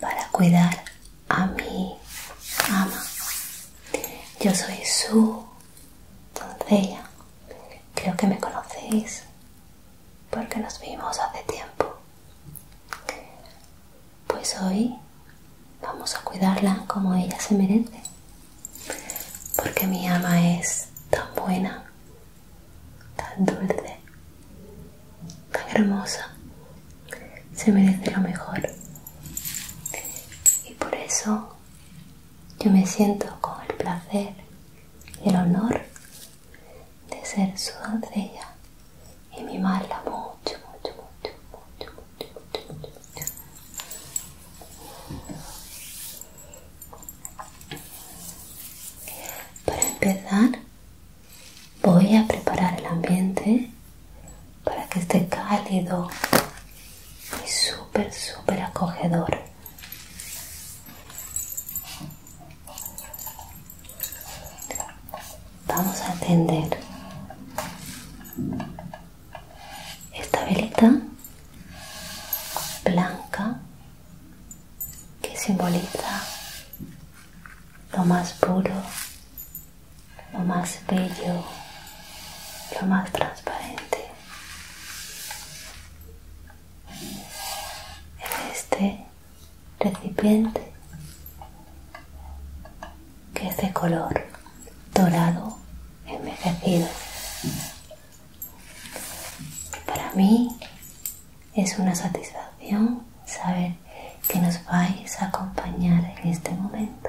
para cuidar a mi ama. Yo soy su doncella. Creo que me conocéis porque nos vimos hace tiempo. Pues hoy vamos a cuidarla como ella se merece. Porque mi ama es tan buena tan dulce, tan hermosa, se merece lo mejor. Y por eso yo me siento con el placer y el honor de ser su doncella y mimarla mucho, mucho, mucho, mucho, mucho, mucho, mucho. Para empezar, Voy a preparar el ambiente para que esté cálido y súper, súper acogedor. Vamos a atender esta velita blanca que simboliza lo más puro, lo más bello, lo más transparente. En este recipiente que es de color dorado envejecido. Para mí es una satisfacción saber que nos vais a acompañar en este momento.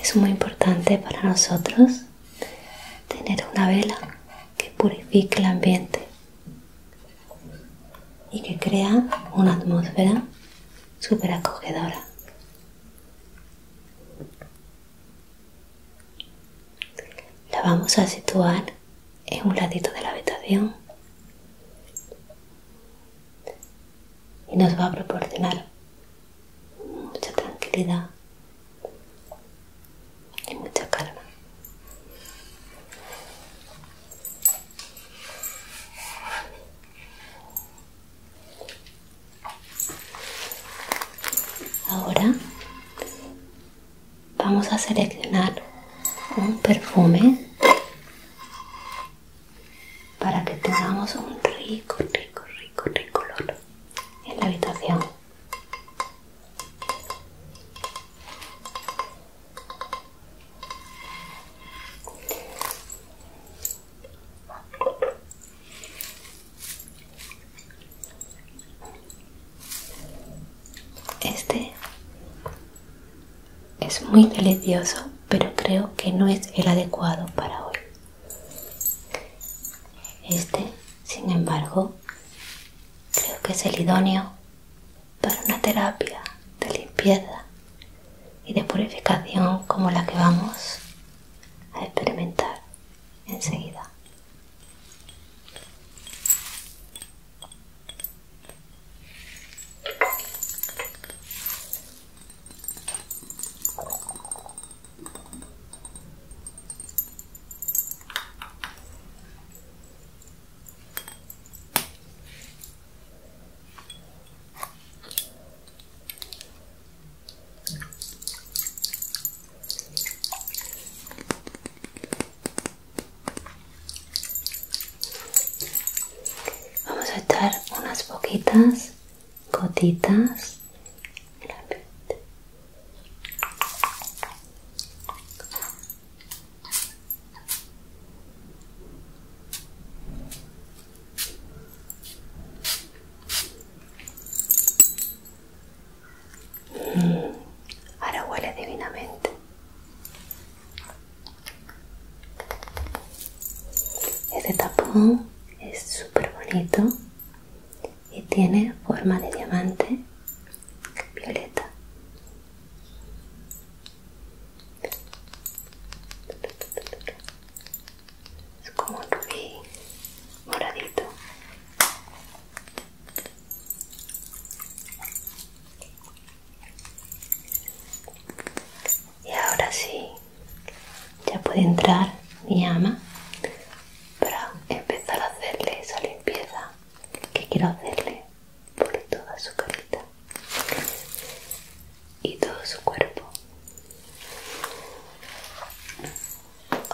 Es muy importante para nosotros tener una vela que purifique el ambiente y que crea una atmósfera súper acogedora. La vamos a situar en un ladito de la habitación y nos va a proporcionar mucha tranquilidad y mucha calma. Ahora vamos a seleccionar un perfume para que tengamos un rico, rico, rico, rico en la habitación. Este es muy delicioso, pero creo que no es el adecuado para hoy. Este, sin embargo, creo que es el idóneo para una terapia de limpieza y de purificación como la que vamos a experimentar enseguida. Vamos a echar unas poquitas gotitas mm, ahora huele divinamente este tapón es súper bonito y tiene forma de diamante violeta. Es como moradito. Y ahora sí, ya puede entrar mi ama para empezar a hacerle esa limpieza que quiero hacerle por toda su carita y todo su cuerpo.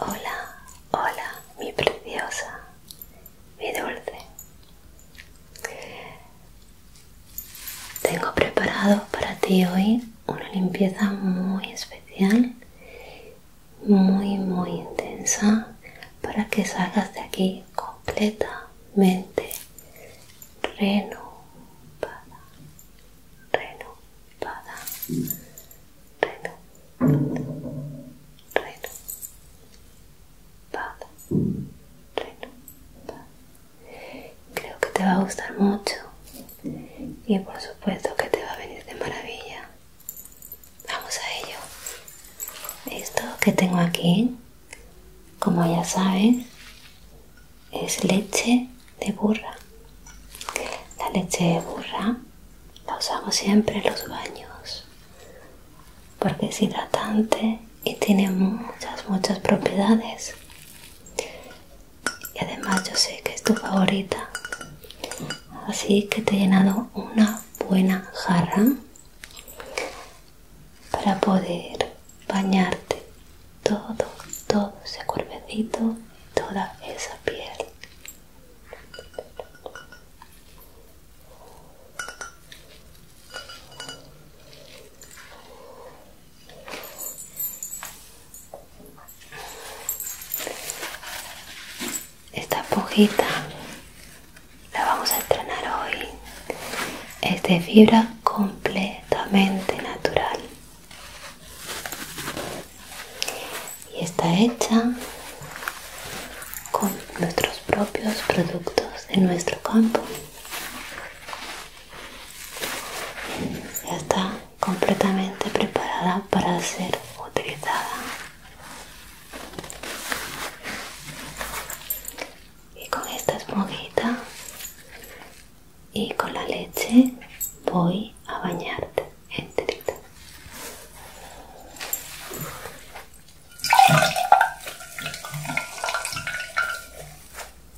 Hola, hola, mi preciosa, mi dulce. Tengo preparado para ti hoy una limpieza muy especial, muy muy intensa, para que salgas de aquí completamente renovada, Creo que te va a gustar mucho y por supuesto que te va a venir de maravilla. Vamos a ello. Esto que tengo aquí, como ya saben, es leche de burra. La leche de burra la usamos siempre en los baños porque es hidratante y tiene muchas, muchas propiedades y además yo sé que es tu favorita así que te he llenado una buena jarra para poder bañarte todo todo ese cuerpecito toda esa piel esta pojita, la vamos a entrenar hoy. Es de fibra completamente natural. Y está hecha con nuestros propios productos en nuestro campo. Ya está completamente preparada para ser utilizada. Y con esta esponjita y con la leche voy a bañarte enterita.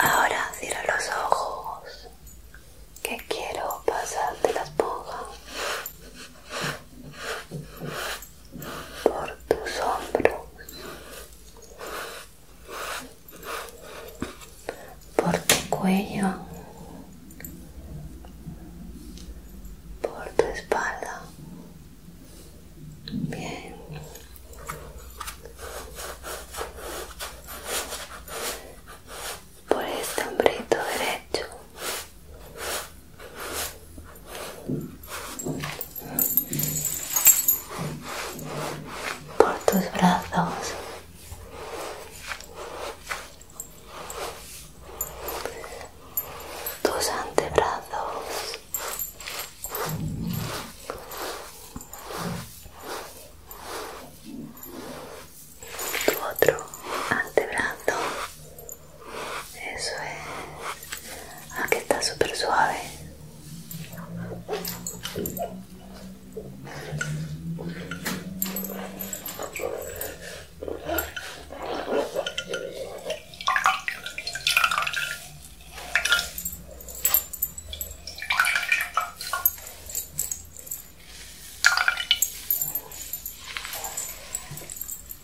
Ahora cierra los ojos que quiero pasarte las esponja por tus hombros por tu cuello, por tu espalda. Bien. Por este hombrito derecho por tus brazos tus antebrazos tu otro antebrazo eso es que está súper suave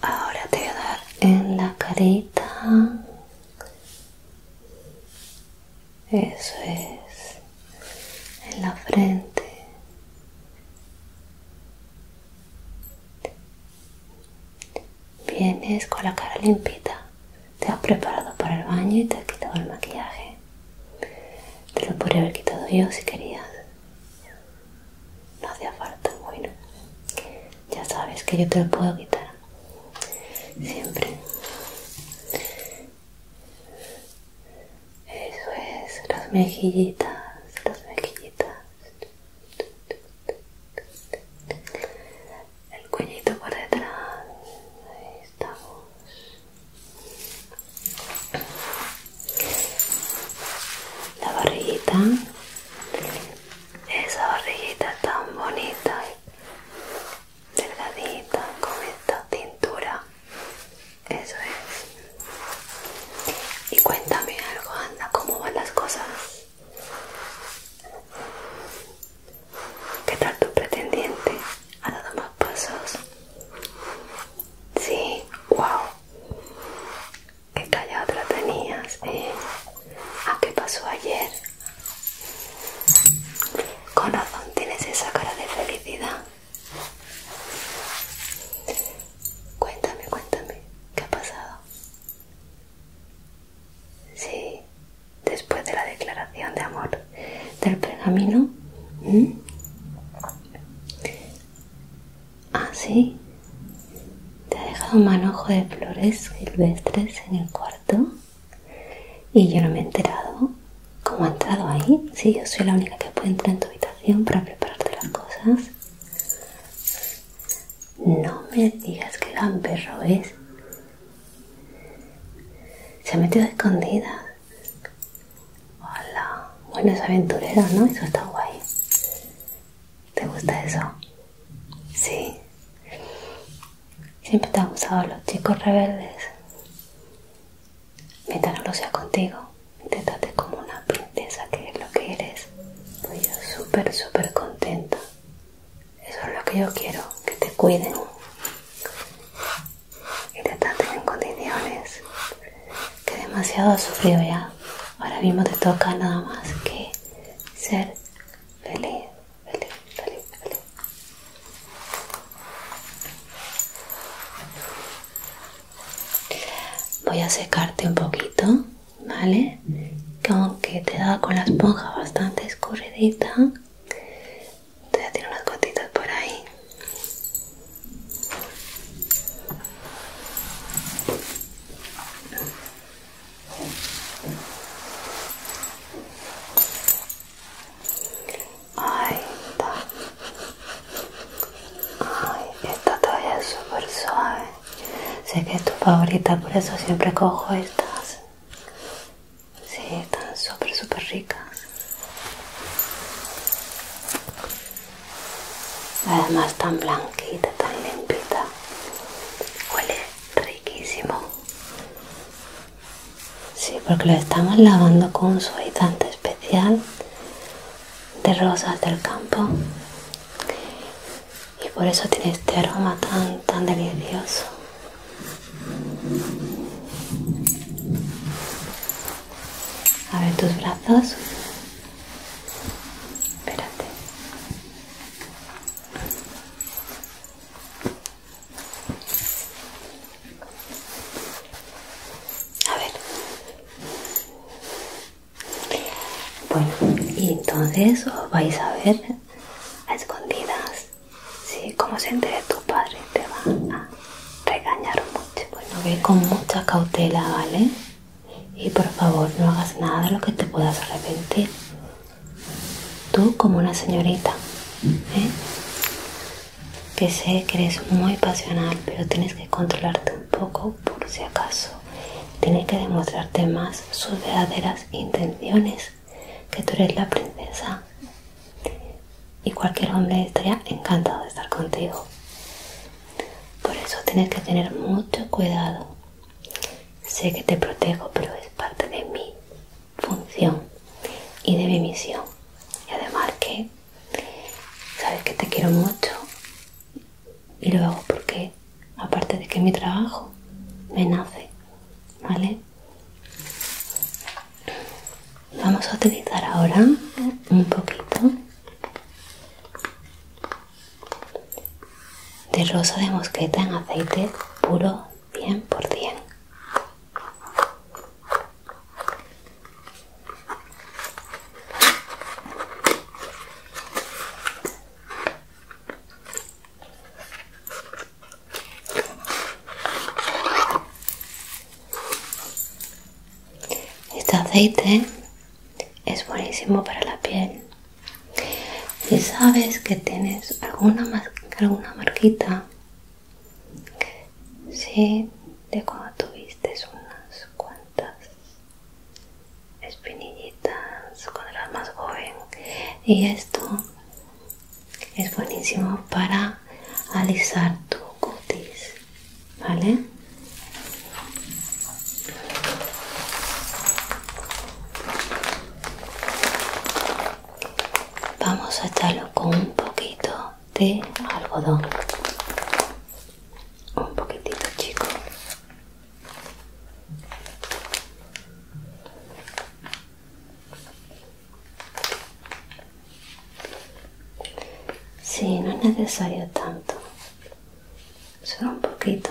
Ahora te voy a dar en la carita eso es, en la frente. Vienes con la cara limpita, te has preparado para el baño y te has quitado el maquillaje. Te lo podría haber quitado yo si querías. No hacía falta, bueno. Ya sabes que yo te lo puedo quitar siempre eso es las mejillitas las mejillitas el cuellito por detrás ahí estamos la barriguita esa barriguita tan bonita delgadita con esta tintura eso es y cuéntame algo anda cómo van las cosas qué tal tu pretendiente ha dado más pasos sí wow qué callado te tenías eh, ¿A qué pasó ayer Corazón, tienes esa cara de felicidad. Cuéntame, cuéntame, ¿qué ha pasado? Sí, después de la declaración de amor del pergamino. Ah, sí. Te ha dejado un manojo de flores silvestres en el cuarto y yo no me he enterado cómo ha entrado ahí. si, yo soy la única que puede entrar en tu habitación para prepararte las cosas. No me digas que perro es. Se ha metido escondida. Hola. Bueno, es aventurera ¿no? Eso está guay. ¿Te gusta eso? Sí. Siempre te han gustado los chicos rebeldes. Mientras no lo sea contigo, te como una princesa que es lo que eres. Soy pues yo súper, súper contenta. Eso es lo que yo quiero, que te cuiden. Y te en condiciones que demasiado has sufrido ya. Ahora mismo te toca nada más que ser feliz, feliz, feliz, feliz. Voy a secarte un poquito, ¿vale? Como Que te da con la esponja bastante escurridita, te voy a tirar unas gotitas por ahí. Ahí está. esta toalla es súper suave. Sé que es tu favorita, por eso siempre cojo estas. Sí, están súper, súper ricas. Además tan blanquita, tan limpita. Huele riquísimo. Sí, porque lo estamos lavando con un suavizante especial de rosas del campo y por eso tiene este aroma tan tan delicioso. A ver tus brazos. Espérate. A ver. Bueno, y entonces os vais a ver a escondidas. Sí, como se entere tu padre, te va a regañar mucho. Bueno, ve con mucha cautela, ¿vale? Y por favor, no hagas nada de lo que te puedas arrepentir. Tú como una señorita, ¿eh? que sé que eres muy pasional, pero tienes que controlarte un poco por si acaso. Tienes que demostrarte más sus verdaderas intenciones, que tú eres la princesa. Y cualquier hombre estaría encantado de estar contigo. Por eso tienes que tener mucho cuidado Sé que te protejo, pero es parte de mi función y de mi misión. Y además que sabes que te quiero mucho y lo hago porque, aparte de que mi trabajo me nace, ¿vale? Vamos a utilizar ahora un poquito de rosa de mosqueta en aceite puro 100%. Este aceite es buenísimo para la piel si sabes que tienes alguna, alguna marquita, sí, de cuando tuviste unas cuantas espinillitas cuando eras más joven, y esto es buenísimo para alisar tu cutis, ¿vale? Vamos a echarlo con un poquito de algodón. Un poquitito chico. Sí, no es necesario tanto. Solo un poquito.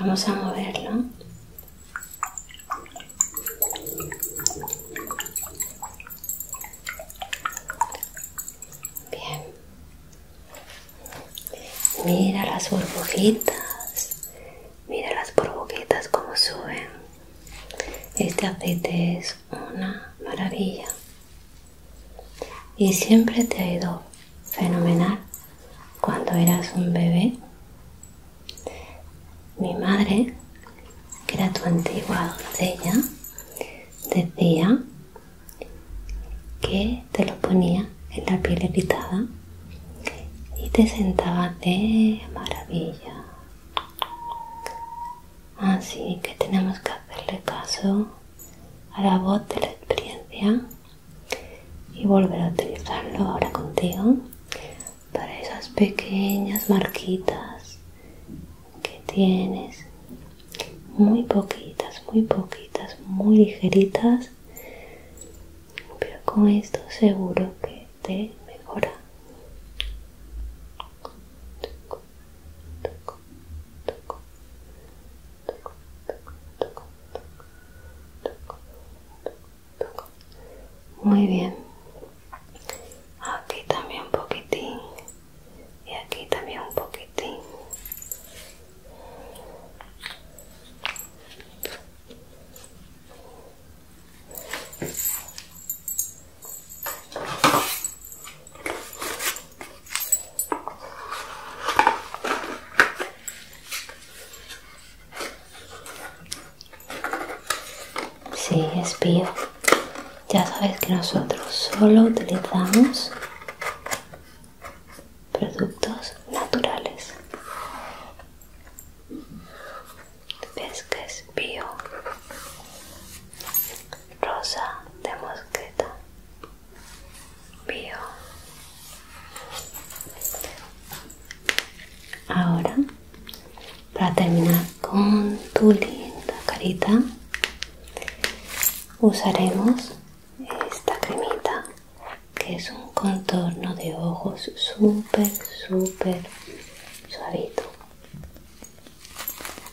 Vamos a moverlo. Bien. Mira las burbujitas. Mira las burbujitas como suben. Este aceite es una maravilla. Y siempre te ha ido fenomenal cuando eras un bebé. Mi madre, que era tu antigua doncella, decía que te lo ponía en la piel irritada y te sentaba de maravilla. Así ah, que tenemos que hacerle caso a la voz de la experiencia y volver a utilizarlo ahora contigo para esas pequeñas marquitas que tienes muy poquitas muy poquitas muy ligeritas pero con esto seguro que te mejora muy bien. Aquí también un poquitín. Y aquí también un poquitín. Sí, bio, Ya sabes que nosotros solo utilizamos productos naturales. ¿Ves que es bio? rosa de mosqueta, bio. Ahora, para terminar con tu linda carita, usaremos esta cremita que es un contorno de ojos súper, súper suavito.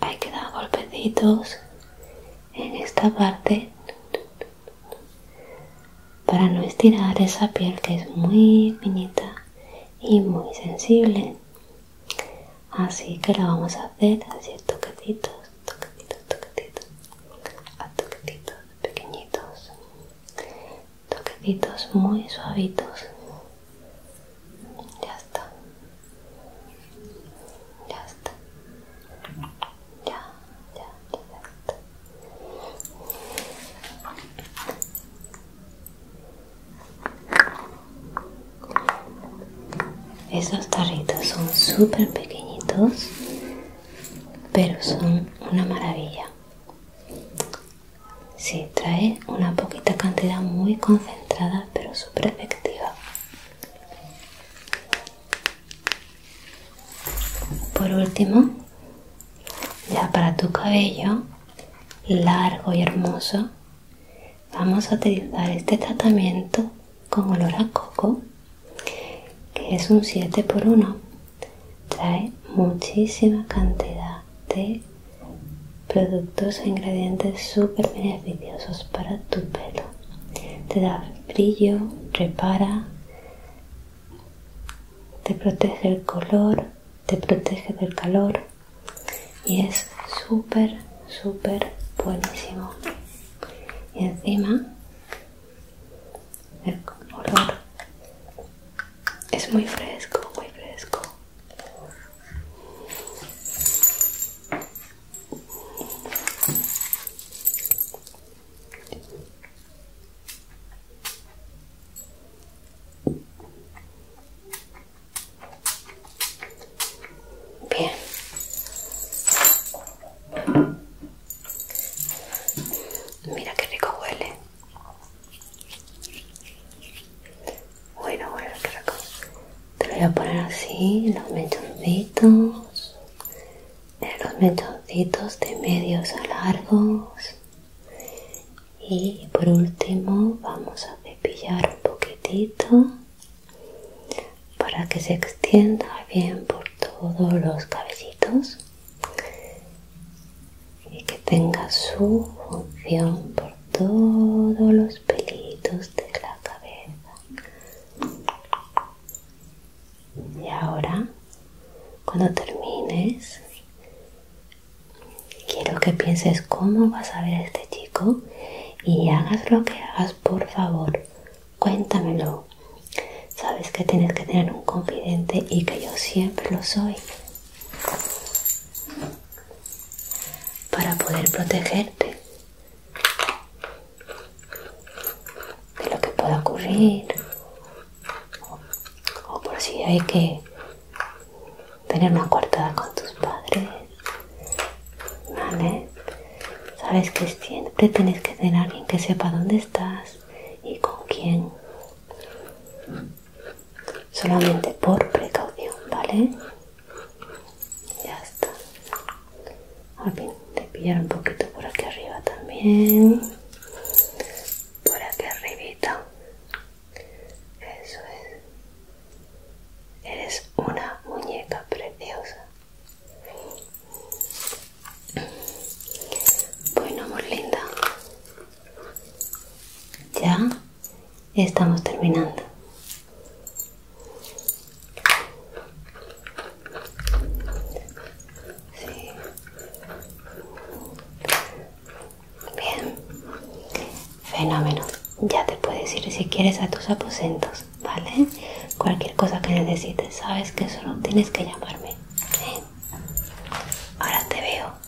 Hay que dar golpecitos en esta parte para no estirar esa piel que es muy finita y muy sensible. Así que la vamos a hacer así toquecitos, toquecitos, toquecitos, a toquecitos pequeñitos toquecitos muy suavitos ya está ya está ya ya ya, está esos tarritos son súper pequeñitos pero son una maravilla si, trae una poquita cantidad muy concentrada, pero súper efectiva. Por último, ya para tu cabello largo y hermoso, vamos a utilizar este tratamiento con olor a coco, que es un 7 por 1 trae muchísima cantidad de productos e ingredientes súper beneficiosos para tu pelo. Te da brillo, repara, te protege el color, te protege del calor y es súper, súper buenísimo. Y encima el es muy fresco, muy fresco. Bien. Mira qué rico huele. Bueno, bueno, Te lo voy a poner así, los mechoncitos, los mechoncitos de medios a largos. Y por último vamos a cepillar un poquitito para que se extienda bien por todos los cabellitos y que tenga su función por todos los pelitos de la cabeza. Y ahora, cuando termines, quiero que pienses cómo vas a ver a este chico y hagas lo que hagas, por favor, cuéntamelo sabes que tienes que tener un confidente y que yo siempre lo soy para poder protegerte de lo que pueda ocurrir o, por si hay que tener una coartada con tus padres vale sabes que siempre tienes que tener a alguien que sepa dónde estás y con quién solamente por precaución, ¿vale? Ya está. A ver, te pillar un poquito por aquí arriba también. Por aquí arribita. Eso es. Eres una muñeca preciosa. Bueno, amor linda. Ya estamos terminando. Sí. Bien. Fenómeno. Ya te puedes ir si quieres a tus aposentos, ¿vale? Cualquier cosa que necesites, sabes que solo tienes que llamarme. Ahora te veo.